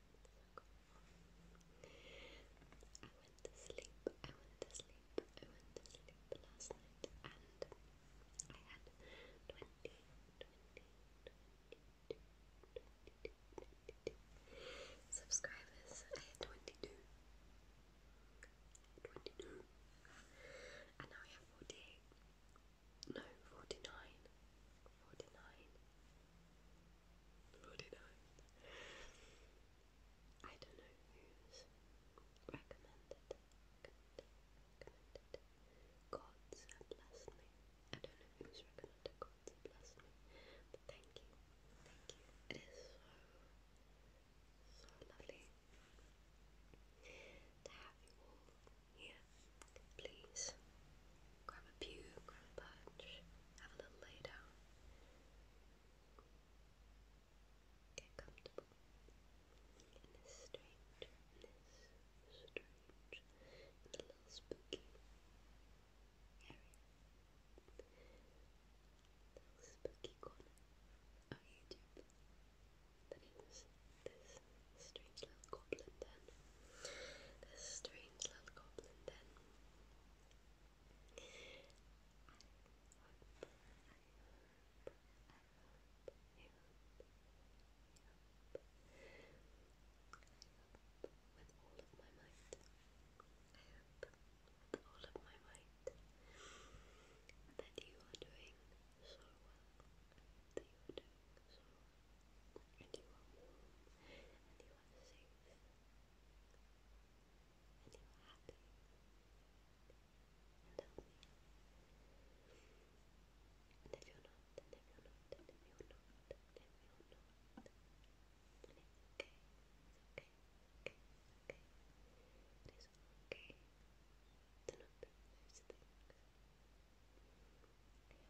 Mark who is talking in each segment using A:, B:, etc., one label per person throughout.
A: I went to sleep, I went to sleep, I went to sleep last night and I had 20, subscribers. I had 22. And now I have 48. No, 49. 49. I don't know who's recommended, recommended, recommended. blessed me. I don't know who's recommended God's blessed me. But thank you. Thank you. It is so so lovely to have you all here, please. Grab a pew, grab a perch, have a little lay down. Get comfortable in this strange, this strange, a little spooky area. Little spooky corner of oh, YouTube that is this strange little goblin den. This strange little goblin then. with all of my might. I hope with all of my might that you are doing so well. That you are doing so and you are warm, and you are safe, and you are happy and healthy. And if you're not, and if you're not, and if you're not, and if you're not, then it's okay, it's okay, okay, okay. It is okay to not be those things.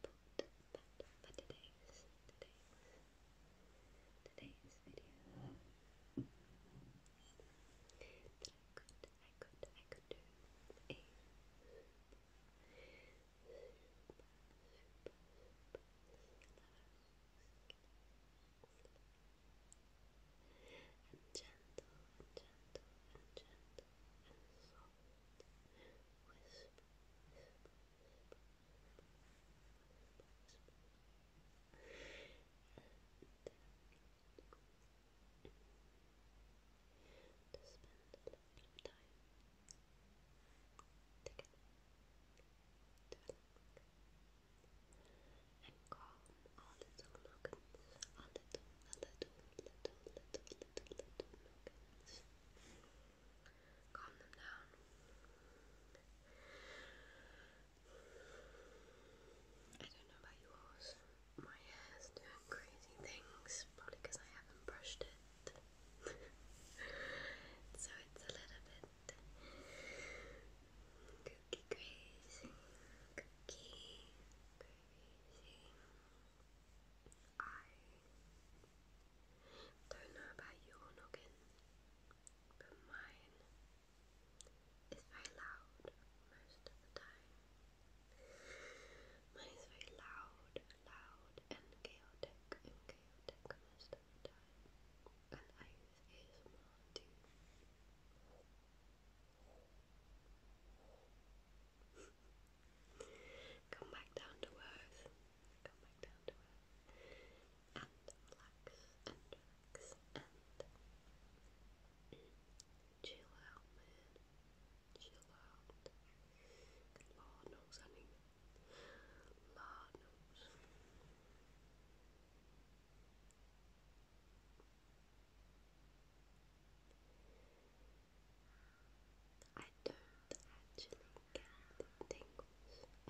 A: But, but, but today's, today's, today's video that I could, I could, I could do a gentle, gentle, gentle and soft whisper, whisper, whisper, whisper, to spend a little time together to relax and calm our little logins, our little, our little, little, little, little nuggets. Calm them down. I don't know about yours. My hair's doing crazy things, probably because I haven't brushed it. so it's a little bit crazy. crazy. I don't know about your noggin, but mine is very loud most of the time. Mine is very loud, loud, and chaotic, and chaotic most of the time. And I use ASMR to Come back down to earth. Come back down to earth. And relax and relax and chill out, Chill out. Lord knows, honey. Lord knows. I don't actually get tingles.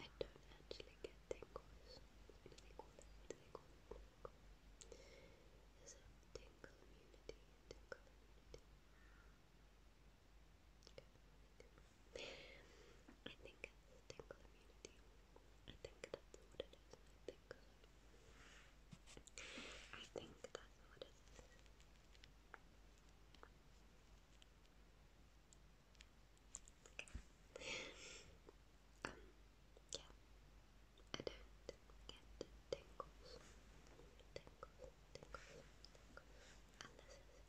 A: I don't actually get tingles. What do they call it? What I think it's tingle immunity. I think that's what it is good. I think that's yeah. I don't get tingles, tingles, tingles, tingles, unless it's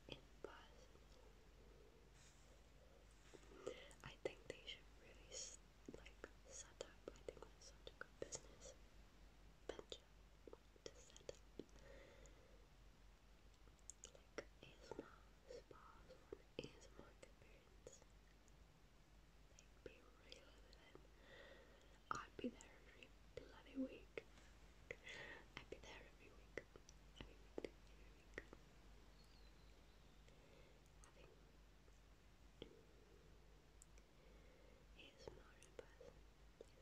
A: in person. I think they should really like set up. I think that's such a good business venture to set up like ASMR spas or an ASMR experience. Like be real with I'd be there every bloody week. I'd be there every week. Every week. Every week. ASMR in person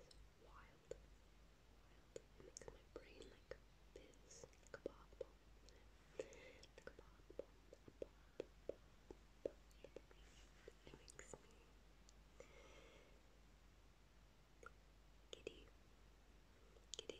A: is wild. Wild. It makes my brain like fizz, like a pop bomb. Like a pop bomb. A pop, pop, pop. It makes me giddy. Giddy. I do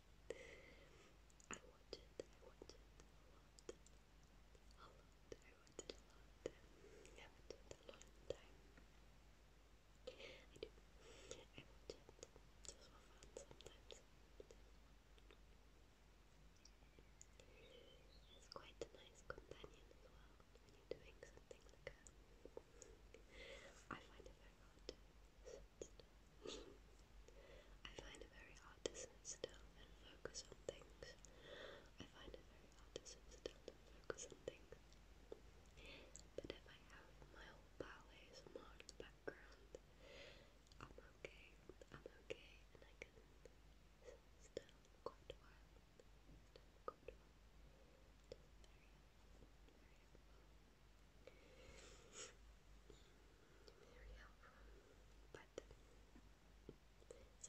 A: I watch it, I watch it a lot. I watch it a lot. I have it a long time. I do. I watch it It's quite a nice companion as well when you're doing something like I find it very hard I find it very hard to sit still and focus on things. I find it very hard to sit still and focus on things. But if I have my whole ballet in the background, I'm okay. I'm okay, and I can sit still quite quite a while. Very helpful. some of my favorite,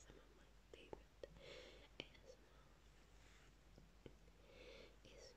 A: some of my favorite ASMR is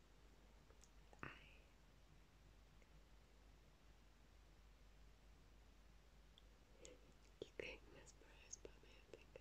A: I you getting mesmerized by me, I think.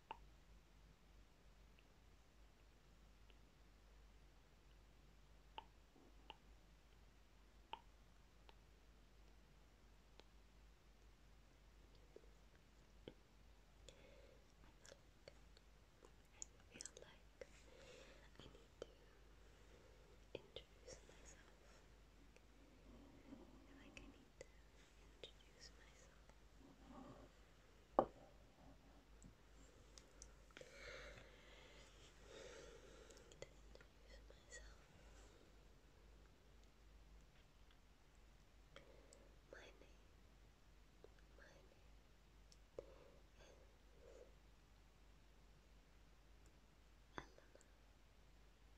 A: feel like I need to introduce myself. like introduce myself. To introduce myself. My name, my name is Elena. Elena.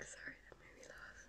A: Sorry, that made me laugh.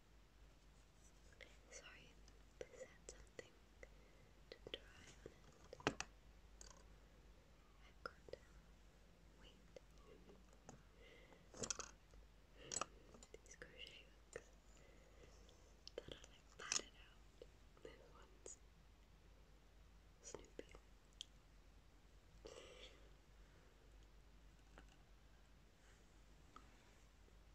A: Sorry, this had something to dry on it. I've got to wait. these crochet hooks that are like padded out. This one's Snoopy.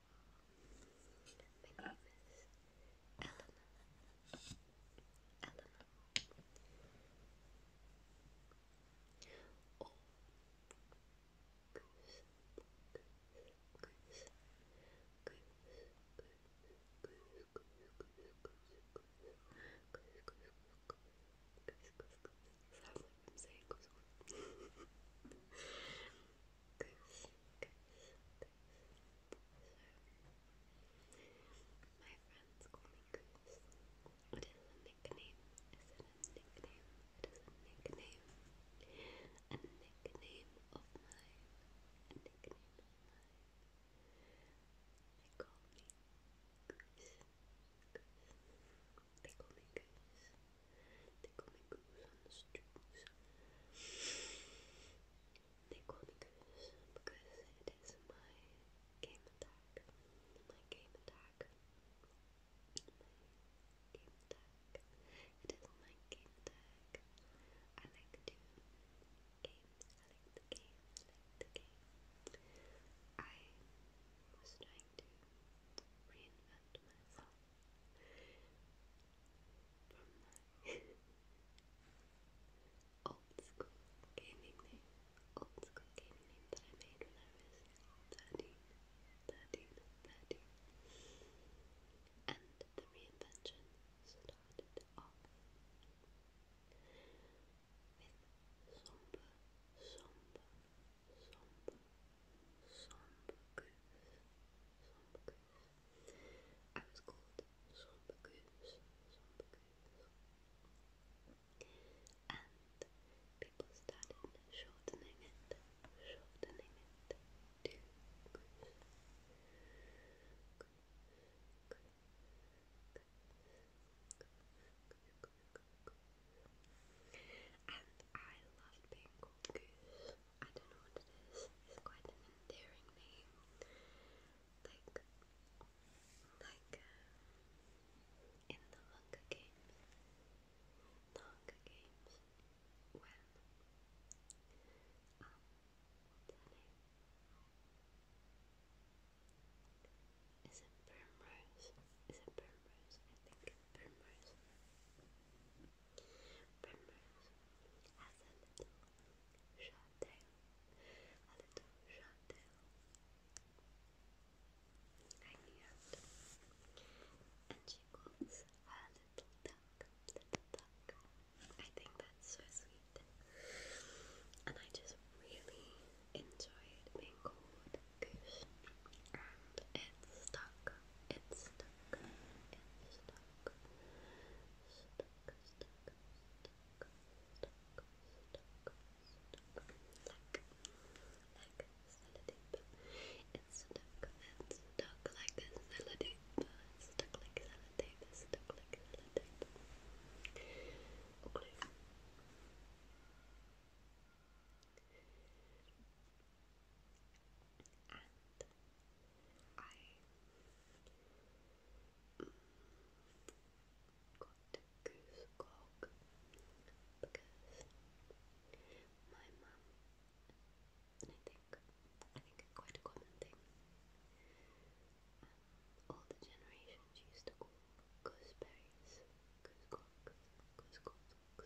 A: My name is Eleanor. Eleanor. Oh, so, my friends call me Goose. It is a nickname. Is it a nickname? It is a nickname. A nickname of mine. A call me Goose. Goose. They call me Goose. They call me Goose on the streets. They call me because it is my game attack. My game attack. My game attack. It is my game attack. I like to game. I like the game. I like the game. I was trying to reinvent myself Old school gaming name. Old school gaming name that I made when I was 13, And the reinvention started off with somber, somber, somber, somber goose, somber I was called Sombre Goose, Sombre Goose. And people started shortening it, shortening it to Goose. And I loved being called I don't know what it is. It's quite an endearing name. Like, like uh, in the Hunger Games, the Hunger Games, when um, what's her name? Is it Primrose? Is it Primrose? I think Primrose. Primrose has a little short tail, a little and she calls her little duck, little I think that's so sweet, and I just really enjoyed being called it's stuck, it's stuck, it's stuck stuck, stuck, stuck, stuck, stuck, stuck, like, like sellotape. It's stuck, it's like a sellotape, it's stuck like sellotape, it's stuck like sellotape. Okay. I got goose because my mum, and I think, I think it's quite a common thing, all the generations used to call gooseberries goose cogs, goose cogs,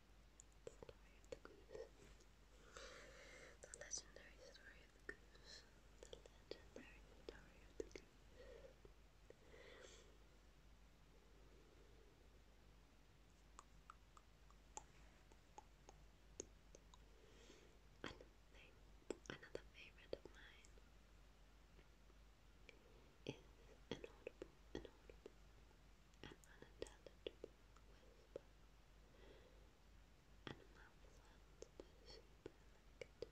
A: the legendary story of the goose. The legendary story of the goose. another favorite of mine is an audible, an unintelligible whisper, I love it.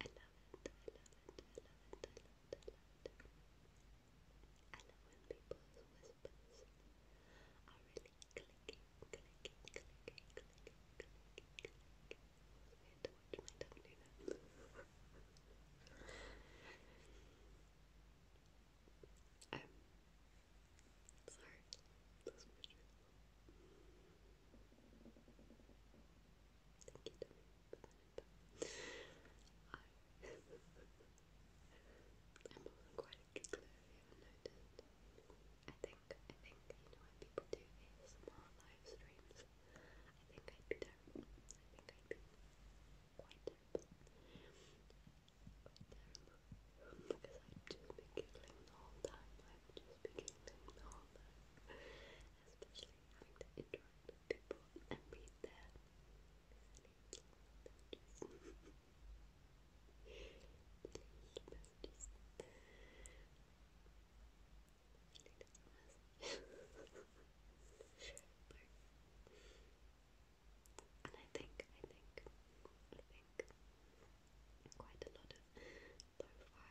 A: I love are really clicking, clicking, clicking, clicking, clicking, clicking. sorry, Thank you, I, am quite particularly I think, I think, you know, when people do ASMR live streams, I think I'd terrible. I think I'd quite terrible. Because I'd just be giggling the whole time. I would just giggling the whole time. Especially having to interact with people and read their and I think, I think, I think quite a lot of lo-fi, lo-fi, lo-fi,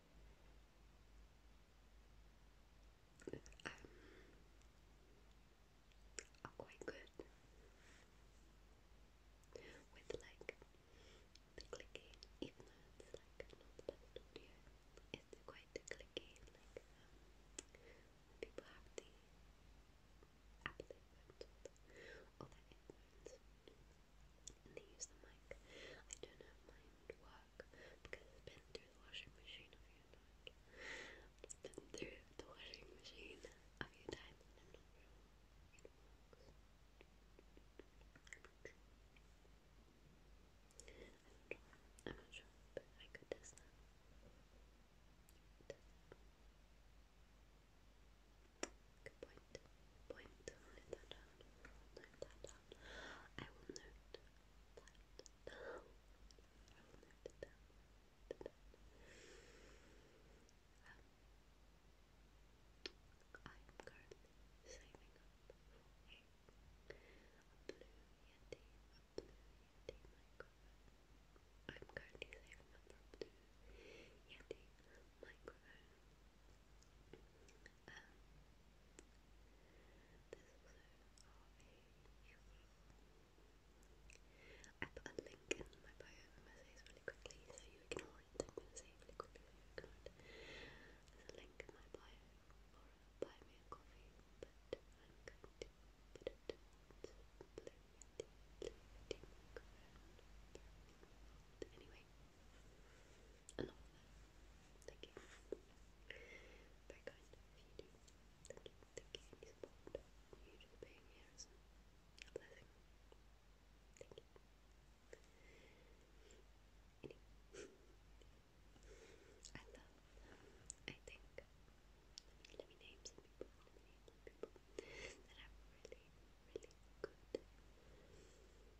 A: um, are quite good with like the clicking, even though it's like not the audio, it's quite clicky, like um, people have the Apple headphones or the, or and they use the mic. I don't have mine to work because it's been through the washing machine a few times. through the washing machine a few times I'm not sure, but I could test that. Good point point. Note that down. Note that down. I will note that down. I will note it down. I am currently saving up for a blue Yeti microphone. I'm currently saving up for a blue Yeti microphone um, there's also a link in my bio of my essays really quickly so you ignore it. I'm going to say really quickly There's a link in my bio buy me a coffee, Anyway, I oh, Thank you. Very kind of you do. Thank you, thank you, any being here is blessing. Thank you. I love, I think, let me name some people, let me name some people that have really, really good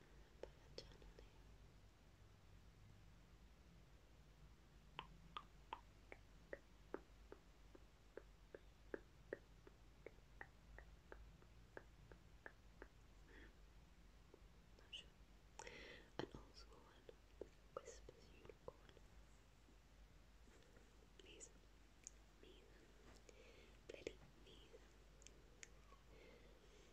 A: but gently. Not sure. one whispers unicorn. Please, please, please.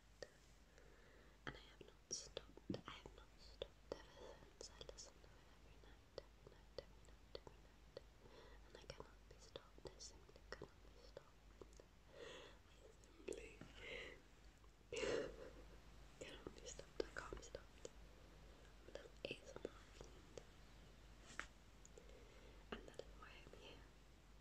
A: And I have not stopped, I have not stopped I listen to it every night, every night, every night, every night. And I cannot be stopped, I simply cannot be stopped. I simply cannot be stopped, I can't be stopped. But that's ASMR. And that is why I'm here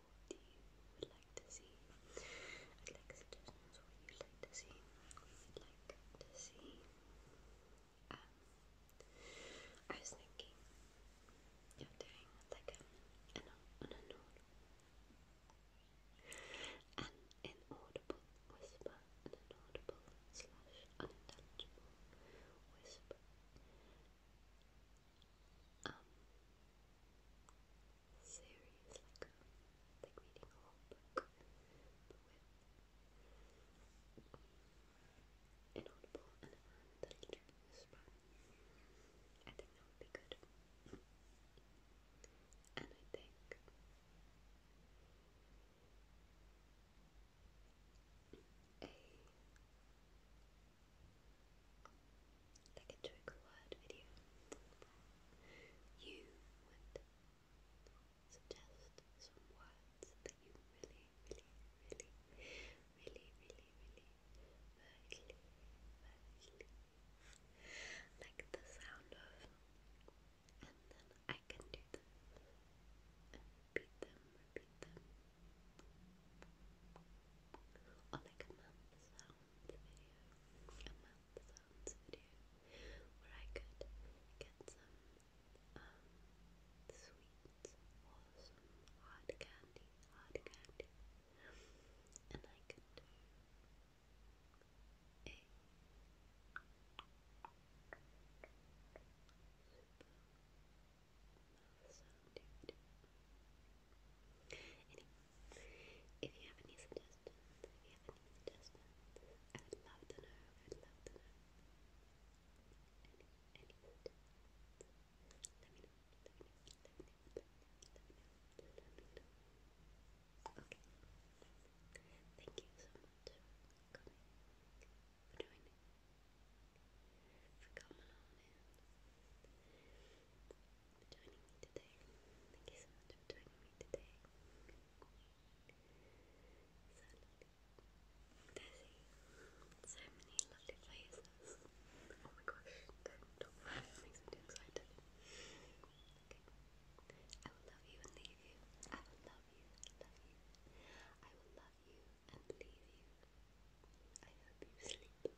A: what you would like to see. I'd like to see. What would like to see. I was thinking of doing like an, an inaudible an inaudible whisper, an inaudible slash unintelligible whisper. Um, series, like, a, um, like reading a whole book, but with inaudible and a little bit of whisper. I think that would be good. And I think a like a trick word video you would suggest some words that you really, really, really, really, really, really, really, like the sound of, and then I can do them and repeat them, repeat them, or a mouth video, a mouth sounds video, where I could get some sweets or some hard candy, hard candy, and I could do a super mouth sound if you have any suggestions, if you have any suggestions, I would love to know. I would love to know. Any, any suggestions? Let me know. Let me know. Let me know. Let me know. Let me know. Okay. Thank you so much for coming, for joining, for coming on joining me today. Thank you so much for joining me today. So many lovely faces. Oh my gosh, makes me too excited. I will love you and leave you. I will love you, love you. I will love you and leave you. I hope you sleep